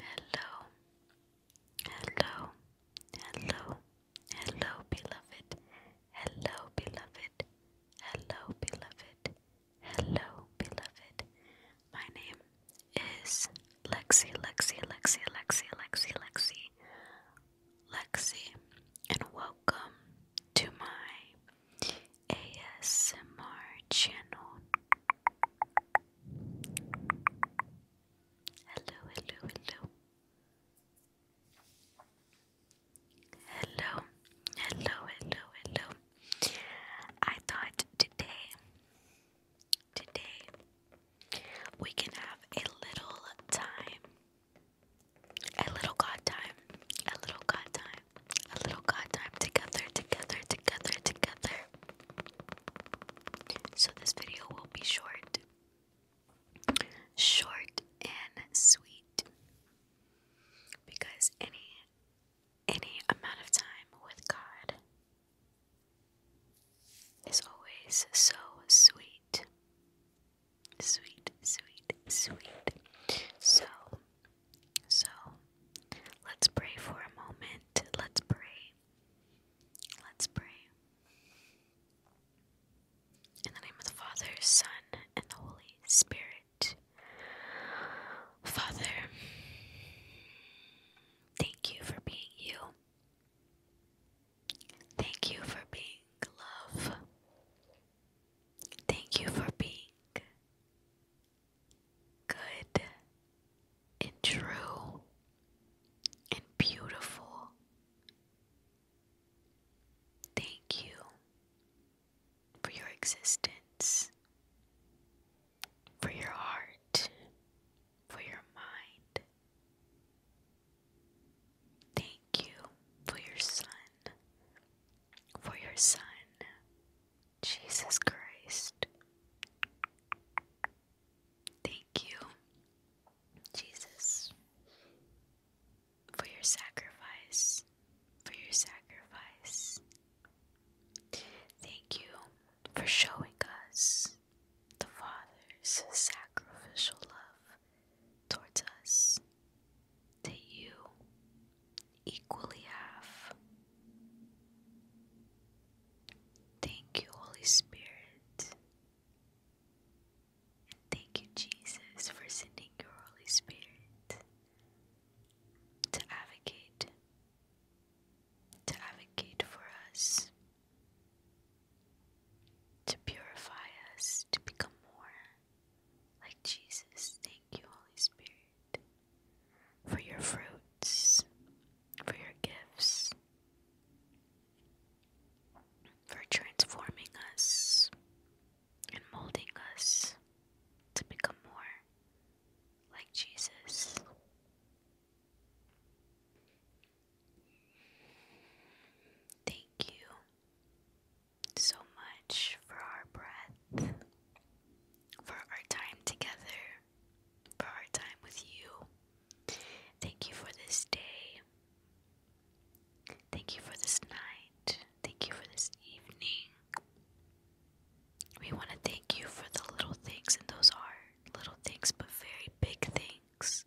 Hello, hello, hello, hello, beloved. Hello, beloved. Hello, beloved. Hello, beloved. My name is Lexi, Lexi, Lexi, Lexi, Lexi, Lexi, Lexi, and welcome to my ASMR channel. Hello, hello, hello. Hello, hello, hello, hello. I thought today, today, we can have a little time, a little God time, a little God time, a little God time together, together, together, together. So this video will be short. Short and sweet. Because any any amount of time with God is always so sweet. Sweet, sweet, sweet. So so let's pray for a moment. Let's pray. Let's pray. In the name of the Father, Son, and the Holy Spirit. Father, thank you for being you. Thank you for being love. Thank you for being good and true and beautiful. Thank you for your existence, for your heart, for your mind. Thank you for your son, for your son, Jesus Christ. Thank you, Jesus, for your sacrifice, for your sacrifice. Thank you for showing us the Father's sacrificial love towards us, that you equally half. Thank you, Holy Spirit. And thank you, Jesus, for sending your Holy Spirit to advocate, to advocate for us, to purify us, to become more like Jesus. Thank you, Holy Spirit for your fruits, for your gifts, for transforming us and molding us to become more like Jesus. Thank you so much for our breath for our time together, for our time with you. Thank you for this day. Thank you for this night. Thank you for this evening. We want to thank you for the little things, and those are little things but very big things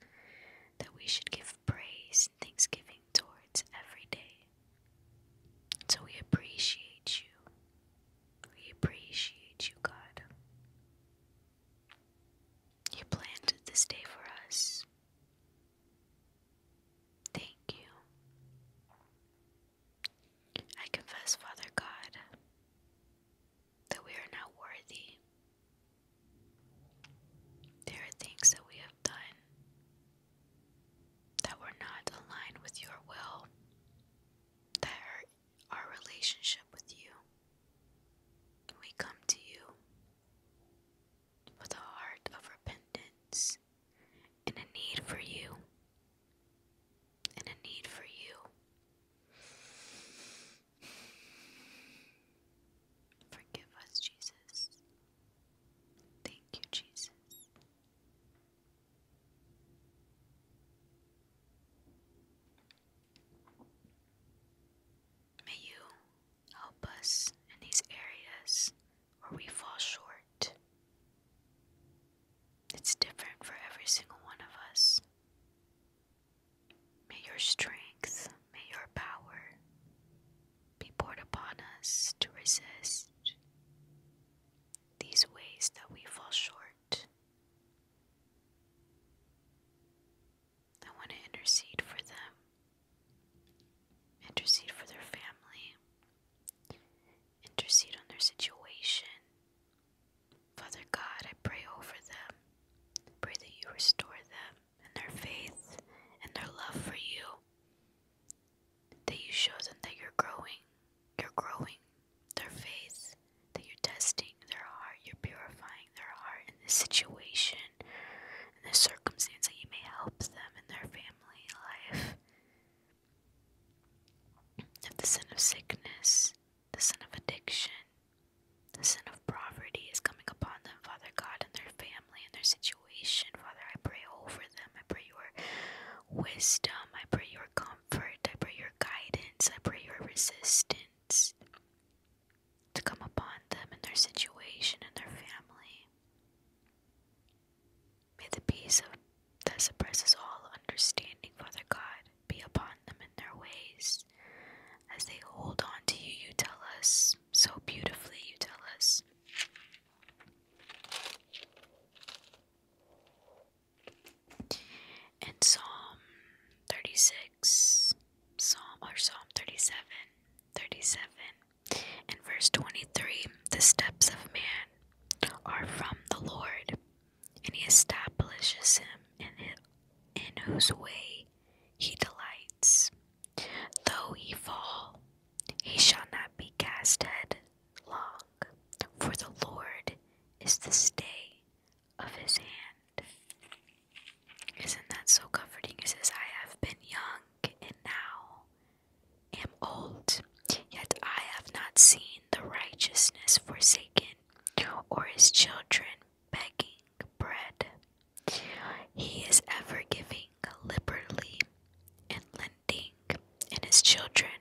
that we should give praise and thanksgiving towards every day. So we appreciate you. We appreciate you, God. You planted this day for us. Thank you. I confess, Father God, that we are not worthy. There are things that we have done that we're not aligned with your will, that our relationship with you. We come to you with a heart of repentance and a need for you, and a need for you. Forgive us, Jesus. Thank you, Jesus. May you help us in these areas where we fall short. It's different for every single one of us. May your strength, may your power be poured upon us to resist these ways that we fall short. I want to intercede for them, intercede for their family, intercede on their situation. Father God, I pray over them. pray that you restore them and their faith and their love for you that you show them that you're growing, you're growing their faith, that you're testing their heart, you're purifying their heart in this situation, in this circumstance, that you may help them in their family life. If the sin of sickness, the sin of addiction, the sin of poverty is coming upon them, Father God, and their family and their situation Father, I pray over them. I pray your wisdom. I pray your comfort. I pray your guidance. I pray your resistance to come upon them in their situation and their family. May the peace that suppresses all understanding, Father God, be upon them in their ways as they hold on to you. You tell us so beautifully, you tell us in Psalm 36, Psalm or Psalm 37, 37, and verse 23, the steps of man are from the Lord, and he establishes him in, his, in whose way he delights. Though he fall, he shall not be cast head log, for the Lord is the stay of his hand. Isn't that so comforting? It says, I have been young and now am old, yet I have not seen the righteousness forsaken, or his children begging bread. He is ever giving liberally and and his children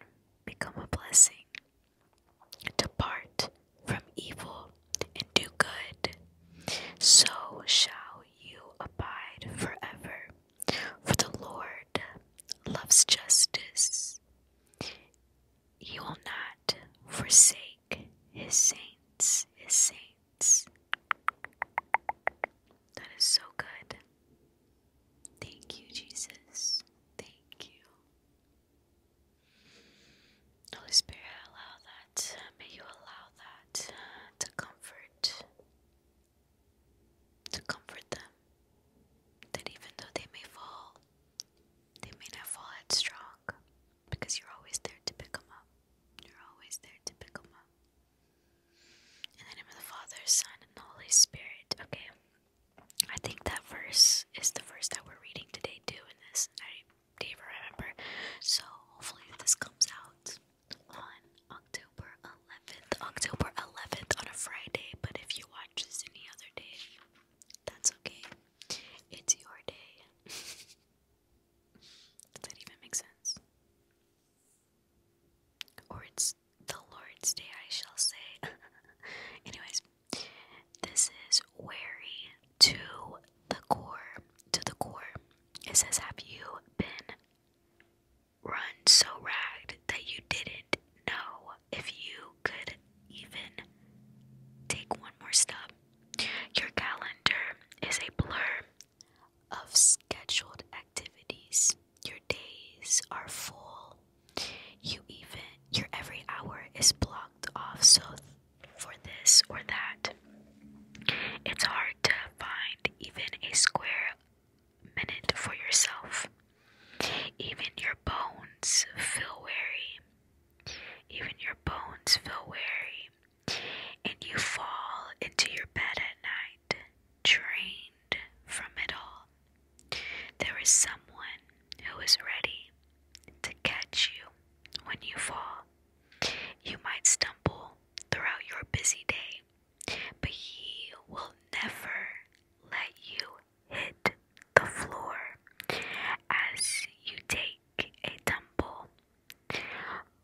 become a blessing. Depart from evil and do good, so shall you abide forever. For the Lord loves justice, He will not forsake His saints, His saints. That is so good. Thank you, Jesus. Thank you. Holy Spirit, allow that. May you allow that uh, to comfort, to comfort them. That even though they may fall, they may not fall headstrong because you're always there to pick them up. You're always there to pick them up. In the name of the Father, Son, and the Holy Spirit. Okay. I think that verse is the verse that we're reading today too in this. I do even remember. So hopefully this comes out on October 11th. October 11th on a Friday, but if you watch this any other day, that's okay. It's your day. Does that even make sense? Or it's the Lord's Day, I shall say. Anyways, this is wary to the core. To the core. It says, Have you been run so ragged that you didn't know if you could even take one more step? Your calendar is a blur of scheduled activities. Your days are full. You even your every hour is blocked off so for this or that. It's hard to find even a square minute for yourself. Even your bones feel weary. Even your bones feel weary and you fall into your bed at night, drained from it all. There is someone who is ready to catch you when you fall. You might stumble throughout your busy day, but he will never let you hit the floor as you take a tumble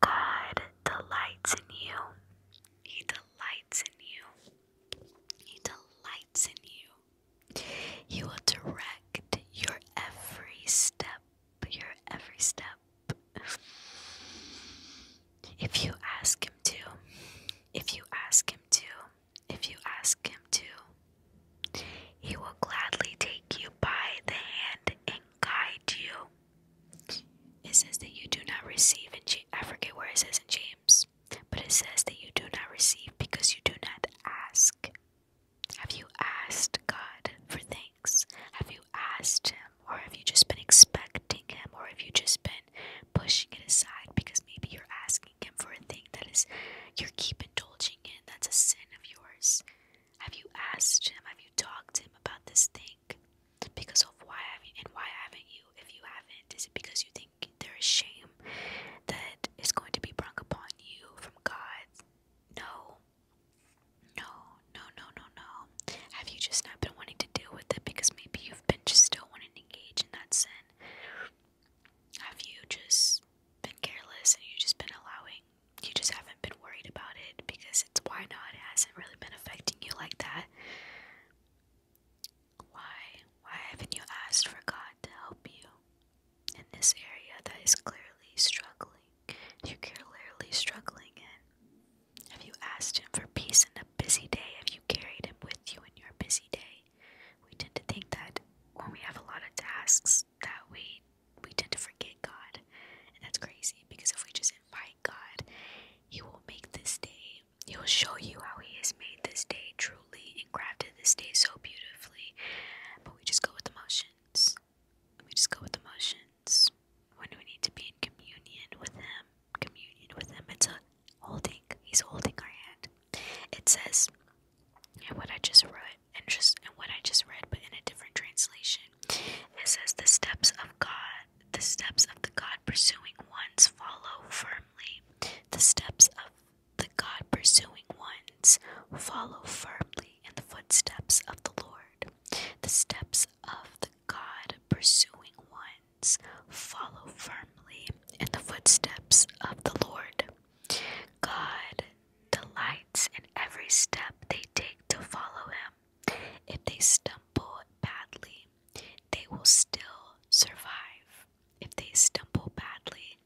God delights in you. He delights in you. He delights in you. He will direct your every step. Your every step. If you ask Him to, if you ask Him to, if you ask Him to, He will gladly take you by the hand and guide you. It says that you do not receive in I forget where it says in James, but it says that you do not receive because you do not ask. Have you asked God for things? Have you asked Him, or have you just been expecting Him, or have you just been pushing it aside because maybe you're asking Him for a thing that is you you're keep indulging in? That's a sin of yours. Have you asked Him? Have you talked to Him about this thing? because of why have you and why haven't you if you haven't is it because you think there is shame that is going to be brung upon you from God no no no no no no have you just not been wanting to deal with it because maybe you've been just still wanting to engage in that sin have you just been careless and you've just been allowing you just haven't been worried about it because it's why not? hasn't really been affecting you like that. Why? Why haven't you asked for God to help you in this area that is clearly struggling? you clearly struggling in. Have you asked Him for peace in a busy day? Have you carried Him with you in your busy day? We tend to think that when we have a lot of tasks, that we we tend to forget God, and that's crazy because if we just my God, He will make this day, He will show you how He has made this day truly and crafted this day so beautifully. But we just go with the motions. We just go with the motions. When we need to be in communion with Him, communion with Him, it's a holding. He's holding our hand. It says, and what I just read, and just and what I just read, but in a different translation, it says the steps of God, the steps of the God pursuing ones follow firmly. The steps of the God pursuing ones follow firmly in the footsteps of the Lord. The steps of the God pursuing ones follow firmly in the footsteps of the Lord. God delights in every step they take to follow Him. If they stumble badly, they will still survive. If they stumble badly,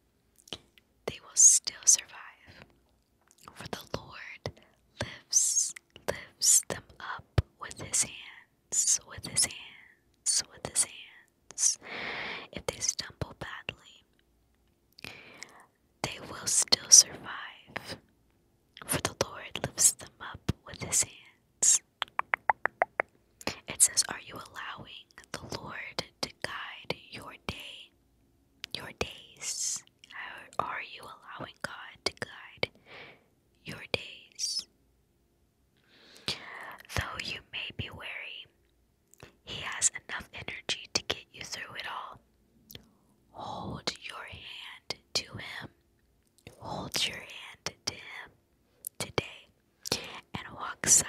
they will still survive. For the Lord lifts lifts them up with his hands, with his hands, with his hands. If they stumble badly, they will still survive, for the Lord lifts them up with his hands. It says, Are you allowing the Lord to guide your day, your days? Are you allowing God to guide your days? Though you may be weary, He has enough energy to get you through it all. Hold your hand to him. Hold your hand to him today and walk side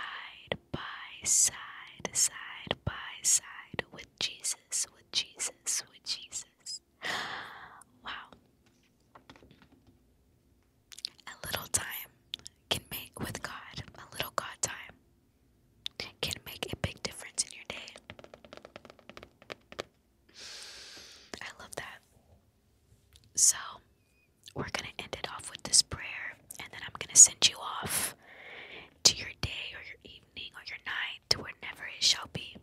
by side, side by side with Jesus, with Jesus, with Jesus. Wow. A little time can make with God, a little God time can make a big difference in your day. I love that. So, we're going to end it off with this prayer, and then I'm going to send you off to your day or your evening or your night, to wherever it shall be.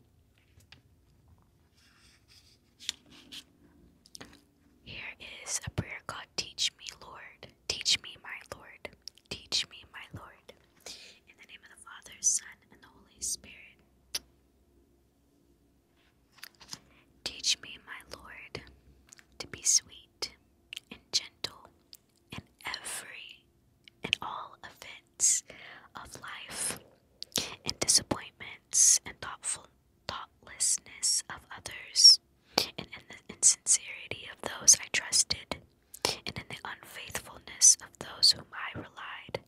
Here is a prayer God, Teach me, Lord. Teach me, my Lord. Teach me, my Lord. In the name of the Father, Son, and the Holy Spirit. Teach me, my Lord, to be sweet and gentle in every and all events of life, in disappointments and thoughtfulness, thoughtlessness of others, and in the insincerity of those I trusted and in the unfaithfulness of those whom I relied.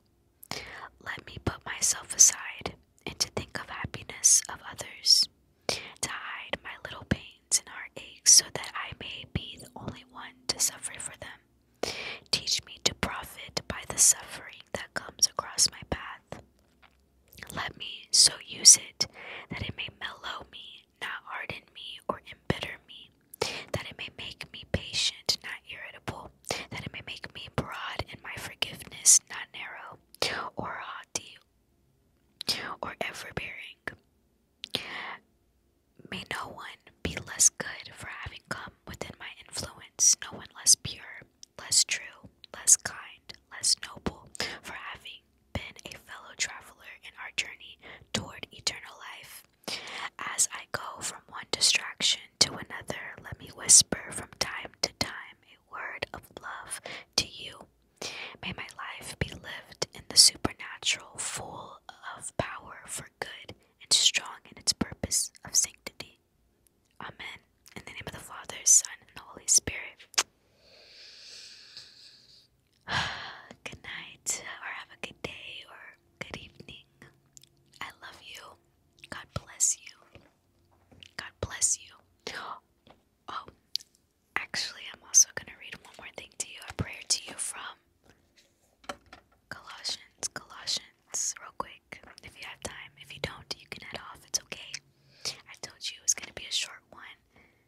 Let me put myself aside and to think of happiness of others, to hide my little pains and heartaches so that I may be the only one to suffer for them. Teach me to profit by the suffering that comes across my path. Let me so use it that it may mellow me not harden me or embitter me, that it may make me patient, not irritable, that it may make me broad in my forgiveness, not narrow, or haughty, or everbearing. May no one be less good for having come within my influence, no one less pure, less true, less kind, less noble, for having been a fellow traveler in our journey toward eternal life. As I go from one distraction to another, let me whisper from time to time a word of love to you. May my life be lived in the supernatural, full of power for good and strong in its purpose of sanctity. Amen. In the name of the Father, Son, and the Holy Spirit. good night, or have a good day, or good evening. I love you. God bless you. God bless you. Oh, actually, I'm also going to read one more thing to you a prayer to you from Colossians, Colossians, real quick. If you have time, if you don't, you can head off. It's okay. I told you it was going to be a short one,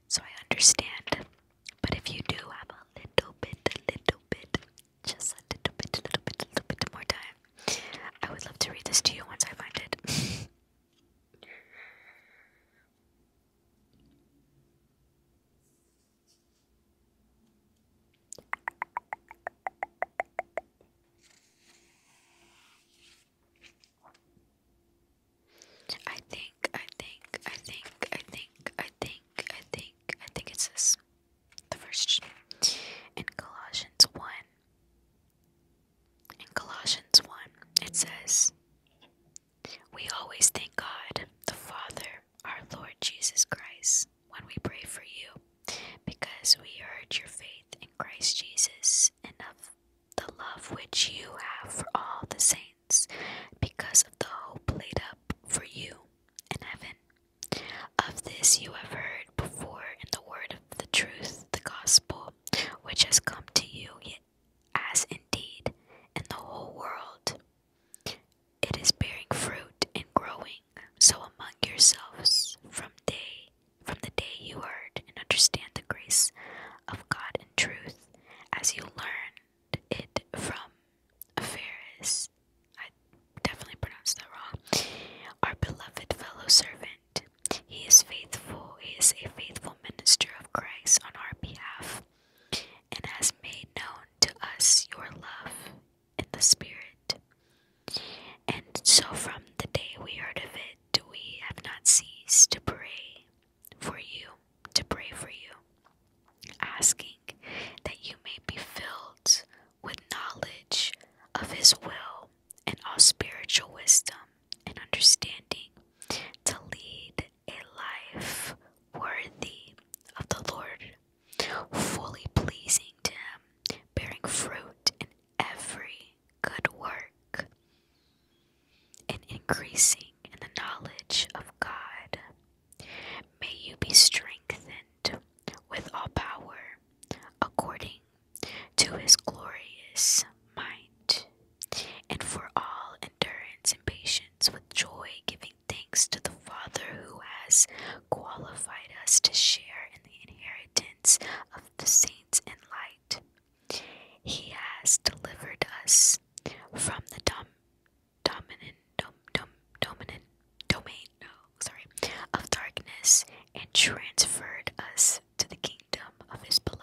so I understand. But if you do have a little bit, a little bit, just a little bit, a little bit, a little bit more time, I would love to read this to you once I find it. I think, I think, I think, I think, I think, I think, I think it's this. The first in Colossians 1. In Colossians 1, it says, We always thank God, the Father, our Lord Jesus Christ, when we pray for you, because we heard your faith in Christ Jesus and of the love which you have for all the saints because of the hope laid up for you in heaven. Of this you have heard before in the word of the truth, the gospel, which has come to you, yet as indeed in the whole world it is bearing fruit and growing, so among yourselves from day from the day you heard and understand the grace of God in truth, as you learn it from Ferris, I definitely pronounced that wrong, our beloved fellow servant. He is faithful, he is a faithful minister of Christ on our behalf, and has made known to us your love in the Spirit. And so from the day we heard of it, we have not ceased to pray for you, to pray for you, asking that you may be filled with knowledge of His will and all spiritual wisdom and understanding to lead a life worthy of the Lord, fully pleasing to Him, bearing fruit in every good work and increasing in the knowledge of God. May you be strengthened with all power according to his glorious might, and for all endurance and patience with joy, giving thanks to the Father who has qualified us to share in the inheritance of the saints in light. He has delivered us from the dom dominant dom dom dominant domain no sorry of darkness and transferred us to the kingdom of his beloved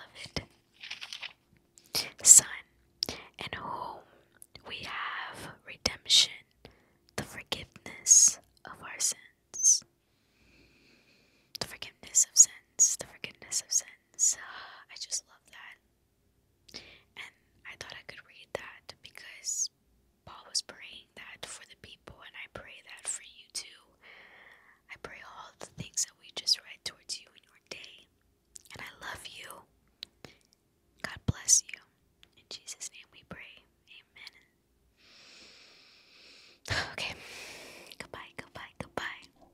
Son, in whom we have redemption, the forgiveness of our sins. The forgiveness of sins, the forgiveness of sins. I just love that. And I thought I could read that because Paul was praying that for the people, and I pray that for you too. I pray all the things that we just read towards you in your day. And I love you. God bless you. In Jesus' name we pray. Amen. Okay. Goodbye, goodbye, goodbye.